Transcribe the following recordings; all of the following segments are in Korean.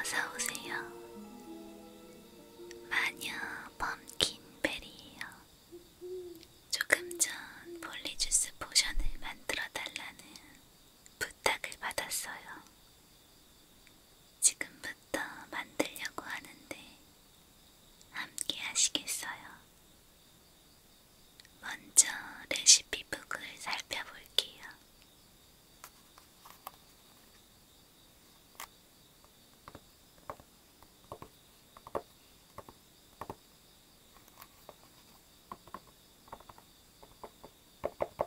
어서오세요. 마녀 범킨베리에요. 조금 전 폴리주스 포션을 만들어 달라는 부탁을 받았어요. 지금부터 만들려고 하는데 함께 하시겠어요? 먼저 레시피북을 살펴볼게요.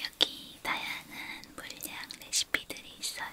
여기 다양한 물량 레시피들이 있어요.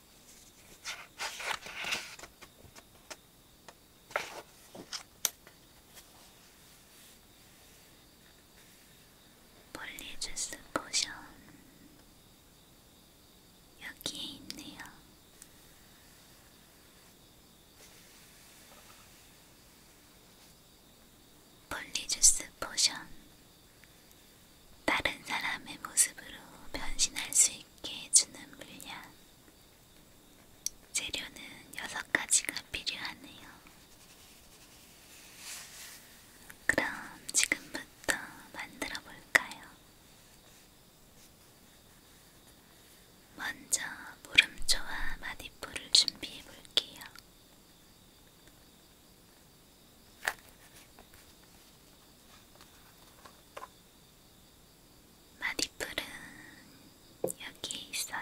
볼리주스 포션 여기에 있네요. 볼리주스 포션 다른 사람의 모습으로 변신할 수 있게 해주는 물약. 재료는 6가지가 필요하네요. 그럼 지금부터 만들어 볼까요? 먼저 모름초와 마디포를 준비해 볼게요. 마디풀은 여기에 있어요.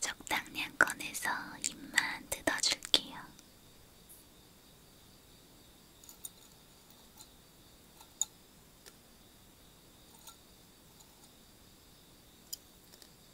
적당량 꺼내서 입만 뜯어줄게요.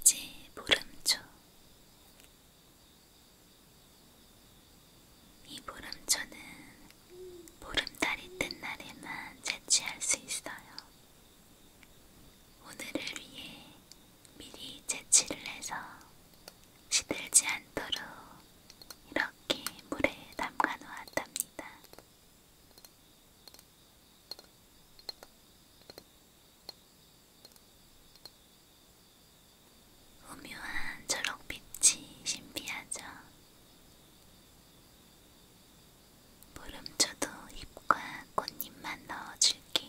이제 보름초 이 보름초는 보름달이 뜬 날에만 채취할 수 있어요. 오늘을 위해 미리 채취를 해서 시들지 않도록 이렇게 물에 담가 놓았답니다. 오묘한 초록빛이 신비하죠. 보름초도 잎과 꽃잎만 넣어줄게요.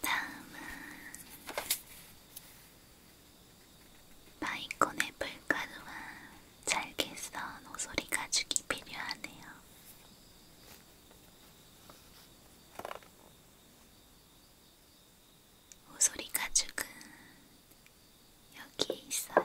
다음은 마이콘의 불가루와 잘게 썬 오소리 가죽이 필요하네요. 오소리 가죽은 여기에 있어요.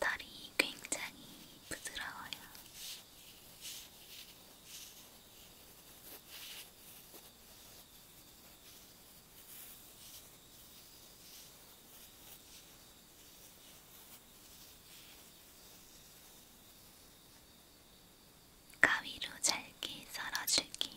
털이 굉장히 부드러워요. 가위로 잘게 썰어줄게요.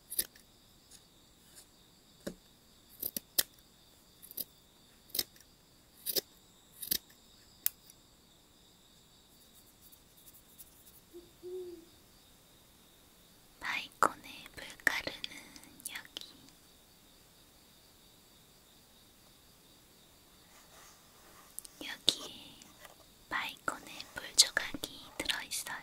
마이콘의 불가르는 여기 여기에 마이콘의 물조각이 들어있어요.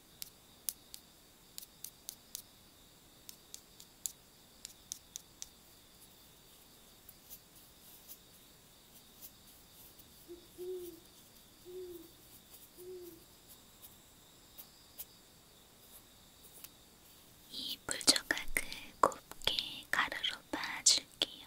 이 물조각을 그 곱게 가루로 빻아줄게요.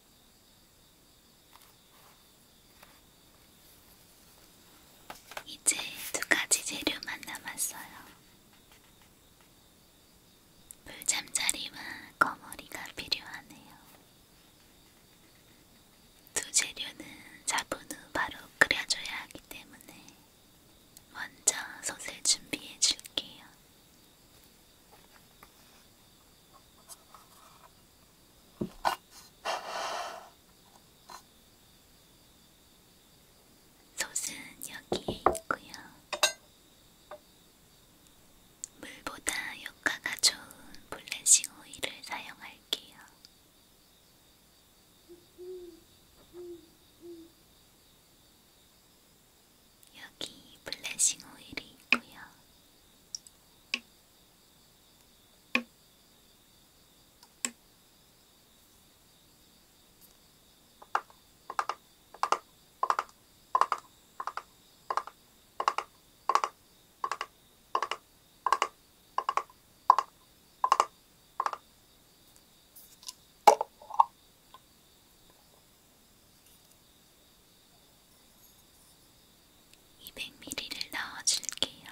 이제 두 가지 재료만 남았어요. 물잠자리와 거머리가 필요하네요. 두 재료는 잡은 후 바로 끓여줘야 하기 때문에 먼저 솥을 준비해 줄게요. 솥은 여기에 있고요. 물보다 효과가 좋은 블레싱 오일을 사용할게요. 여기 블레싱 오일이 있고요. 200ml를 넣어줄게요.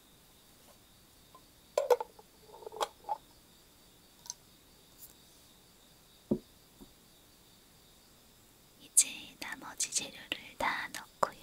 이제 나머지 재료를 다 넣고요.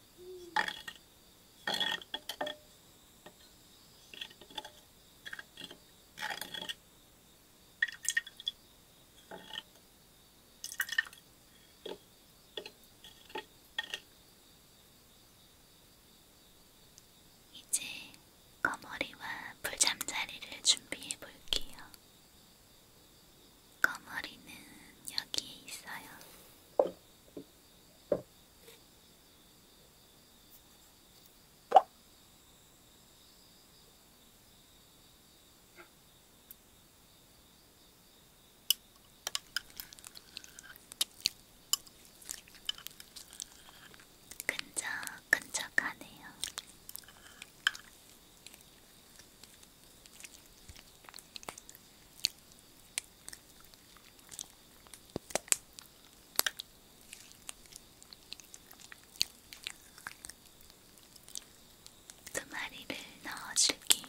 이제 거머리와 불잠자리를 준비해 볼게요. 거머리는 여기에 있어요. 근적 근적하네요. 두 그 마리를 넣어줄게요.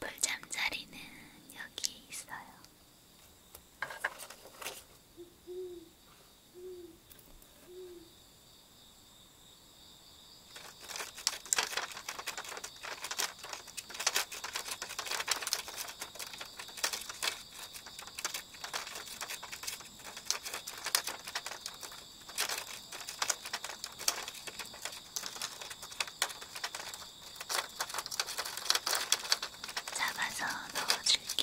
불잠자리는 여기 있어요. 잡아서 넣어줄게요.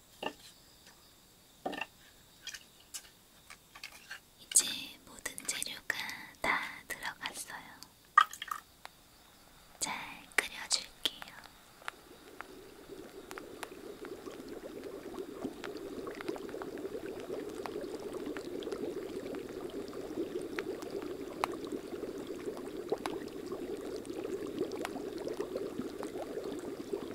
이제 모든 재료가 다 들어갔어요. 잘 끓여줄게요.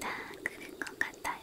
다 그럴 것 같아요.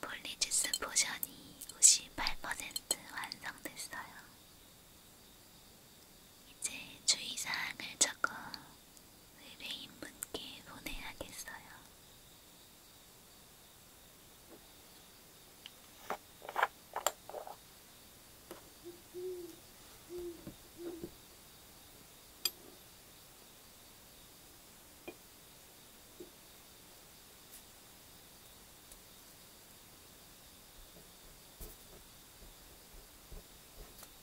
폴리지스 포션이 58% 완성됐어요. 이제 주의사항을 적어 의뢰인분께 보내야겠어요.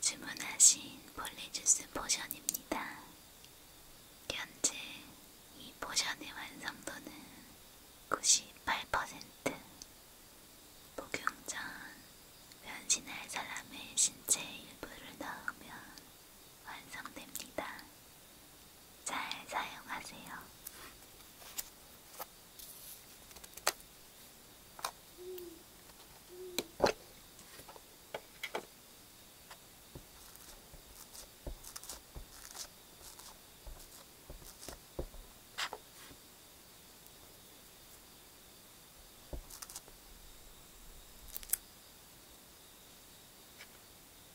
주문하신 폴리주스 포션입니다. 현재 이 포션의 완성도는 98% 복용 전 변신할 사람의 신체 일부를 넣으면 완성됩니다. 잘 사용하세요.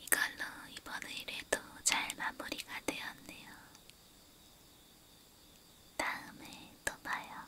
이걸로 이번 의뢰도 잘 마무리가 되었네요. 다음에 또 봐요.